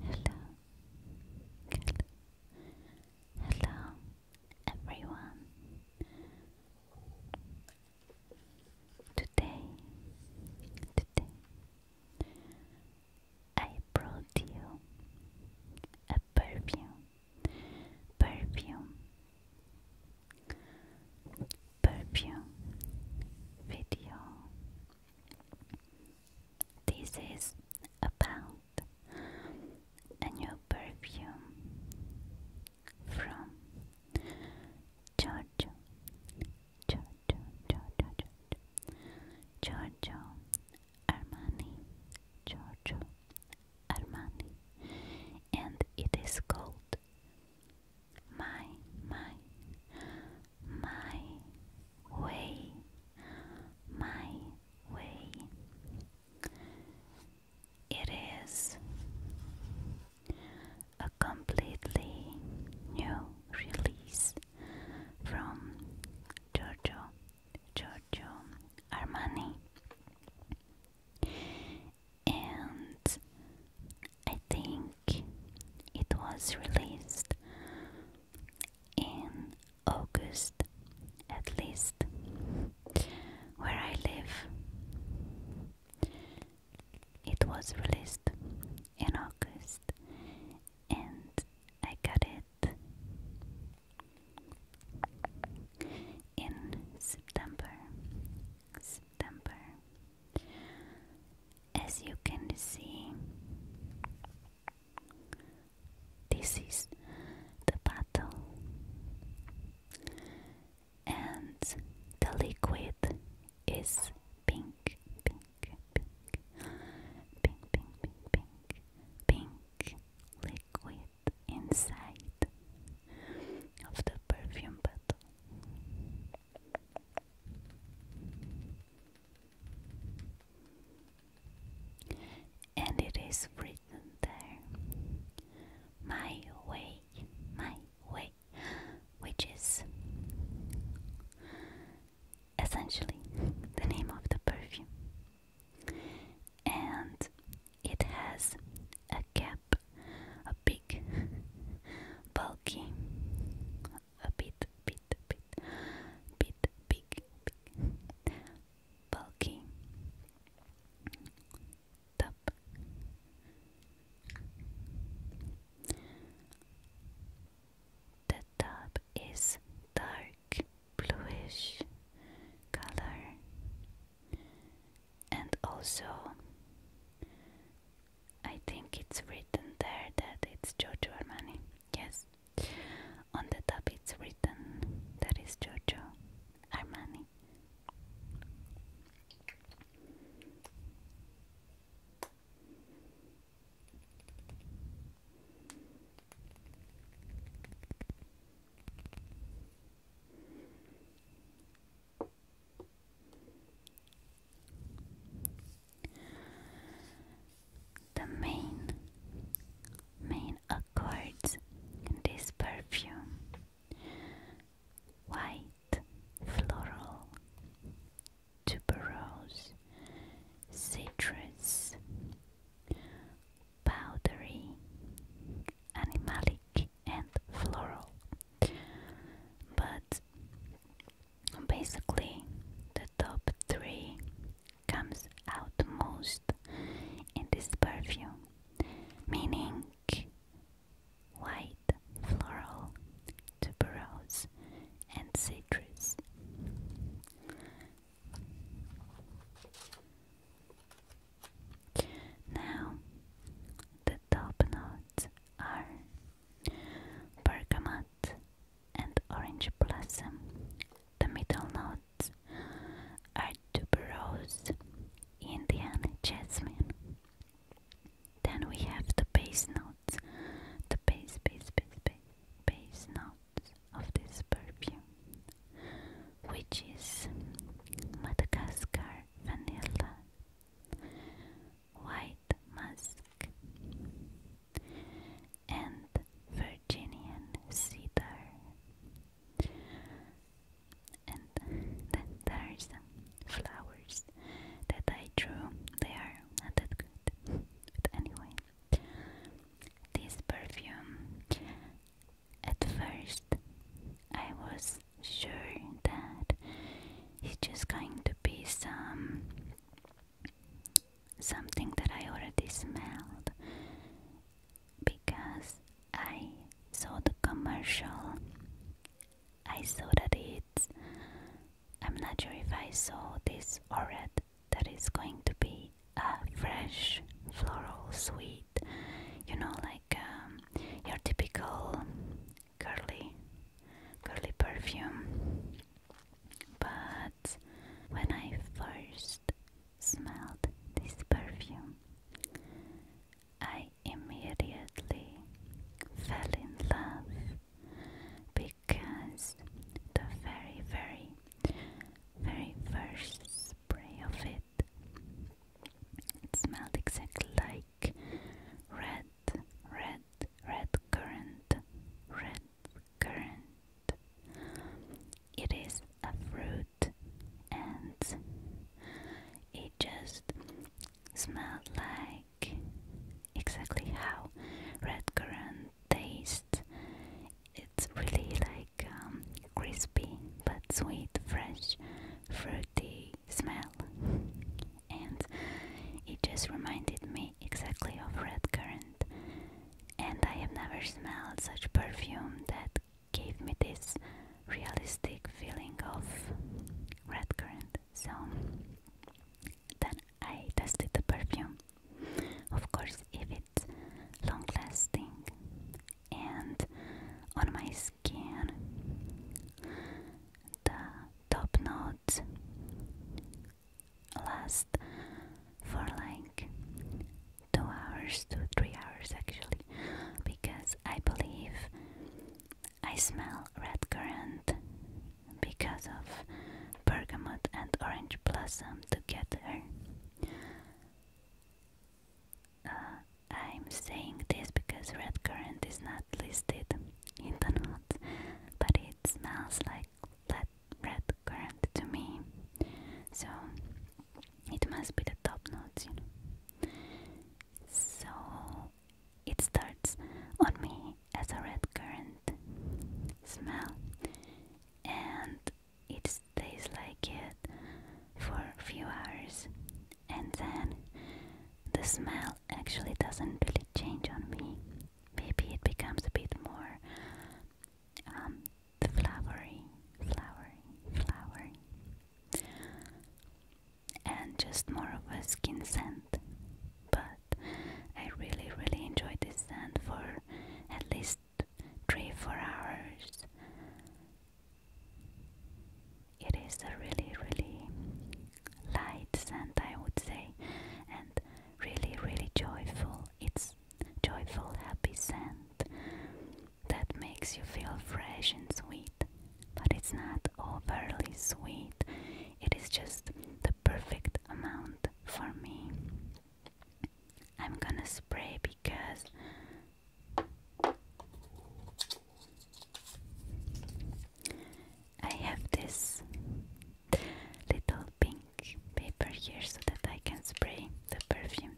Hello, hello, hello, everyone. Today, today, I brought you a perfume, perfume, perfume video this is about a new perfume from Giorgio, Giorgio, Giorgio, Giorgio Armani, Giorgio Armani, and it is called my, my, my way, my way. It is a completely new release from Giorgio, Giorgio Armani. And I think it was released in August, at least where I live. It was released in August, and I got it in September. September. As you can see, this is the bottle, and the liquid is pink, pink, pink, pink, pink, pink, pink, liquid inside of the perfume bottle. And it is written there My way, my way, which is essentially the name of the perfume. And it has a cap, a big, bulky a bit, bit, bit, bit big, big, top, the top is dark bluish color and also I think it's written there that it's Giorgio Armani. Yes. On the top it's written that is Giorgio Armani. The main main accords in this perfume white floral tuberose citrus powdery animalic and floral but Basically, the top three comes out most in this perfume, meaning white, floral, tuberose, and citrus. Now, the top notes are bergamot and orange blossom. The middle notes are tuberose, Indian jasmine. Then we have the base notes, the base, base, base, base, base notes of this perfume, which is Madagascar vanilla, White Musk and Virginian Cedar. And then there flowers that I drew. They are not that good. But anyway, this perfume. At first, I was sure that it's just going to be some something that I already smelled because I saw the commercial. I saw that it's I'm not sure if I saw this or that That is going to be a fresh floral sweet. You know, like um, your typical curly, curly perfume. But when I first smelled this perfume, I immediately fell in love because the very, very, very first spray of it, smelled exactly like red, red, red currant, red currant. It is a fruit and it just smelled like exactly how red currant tastes. It's really like um, crispy but sweet, fresh, fruity smell, and it just reminded me exactly of red currant. And I have never smelled such perfume that gave me this realistic feeling of red currant. So then I tested the perfume. Of course, if it's long lasting and on my skin skin, the top notes last for like two hours to three hours actually because I believe I smell red currant because of bergamot and orange blossom together. Uh, I'm saying this because red currant is not listed in the notes, but it smells like flat red currant to me, so it must be the top notes, you know. So it starts on me as a red currant smell, and it stays like it for a few hours and then the smell actually doesn't really change on me. Maybe it becomes a bit more um, flowery, flowery, flowery, and just more of a skin scent. But I really, really enjoyed this scent for at least three, four hours. It is a really, really light scent, I would say, and really, really joyful. It's joyful, happy scent that makes you feel fresh and sweet, but it's not overly sweet. It is just the perfect amount for me. I'm gonna spray because I have this little pink paper here so that I can spray the perfume.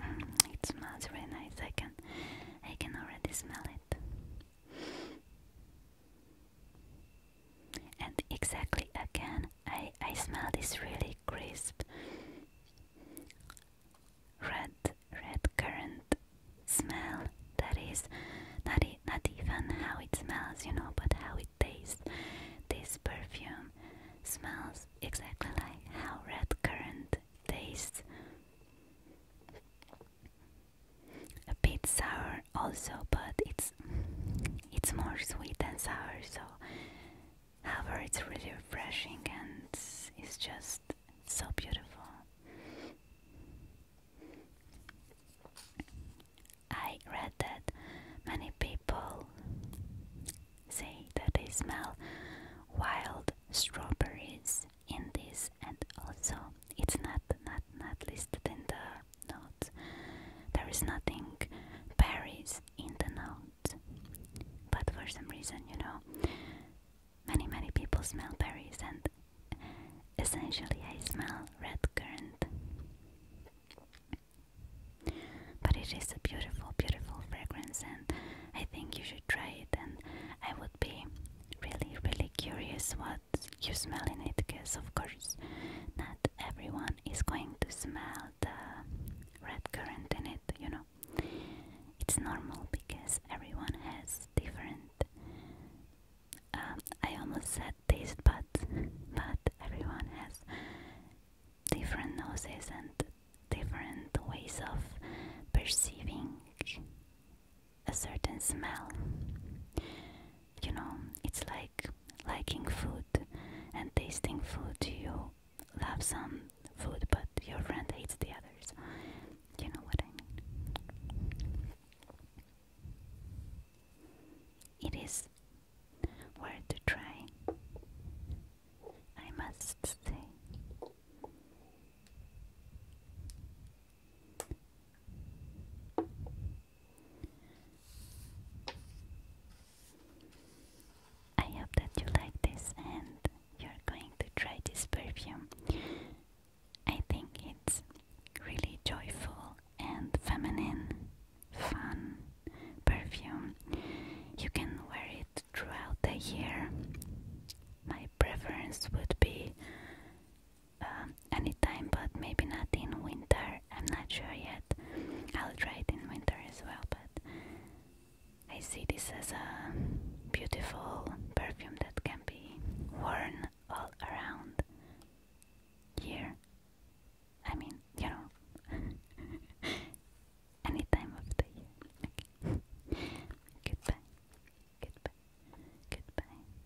Mm, it smells really nice. I can I can already smell it. And exactly again, I, I smell this really crisp red red currant smell that is not, not even how it smells, you know, but how it tastes. This perfume smells exactly like how red currant tastes a bit sour also but it's it's more sweet than sour so however it's really refreshing and it's just so beautiful I read that many people say that they smell wild strawberries in this and also it's not not not listed in the are There is nothing berries in the note, But for some reason, you know, many many people smell berries and essentially I smell red currant. But it is a beautiful, beautiful fragrance and I think you should try it and I would be really really curious what you smell in it because of course not everyone is going to smell the red currant in it you know it's normal because everyone has different um, I almost said taste buds but everyone has different noses and different ways of perceiving a certain smell you know, it's like liking food and tasting food. You love some food, but your friend hates the others. You know what I mean? It is worth to try, I must say. I hope that you like this and you're going to try this perfume. I think it's really joyful and feminine, fun perfume. You can wear it throughout the year. My preference would be um, anytime, but maybe not in winter. I'm not sure yet. I'll try it in winter as well, but I see this as a beautiful perfume that can be worn all around here. I mean, you know, any time of the year. goodbye, goodbye, goodbye,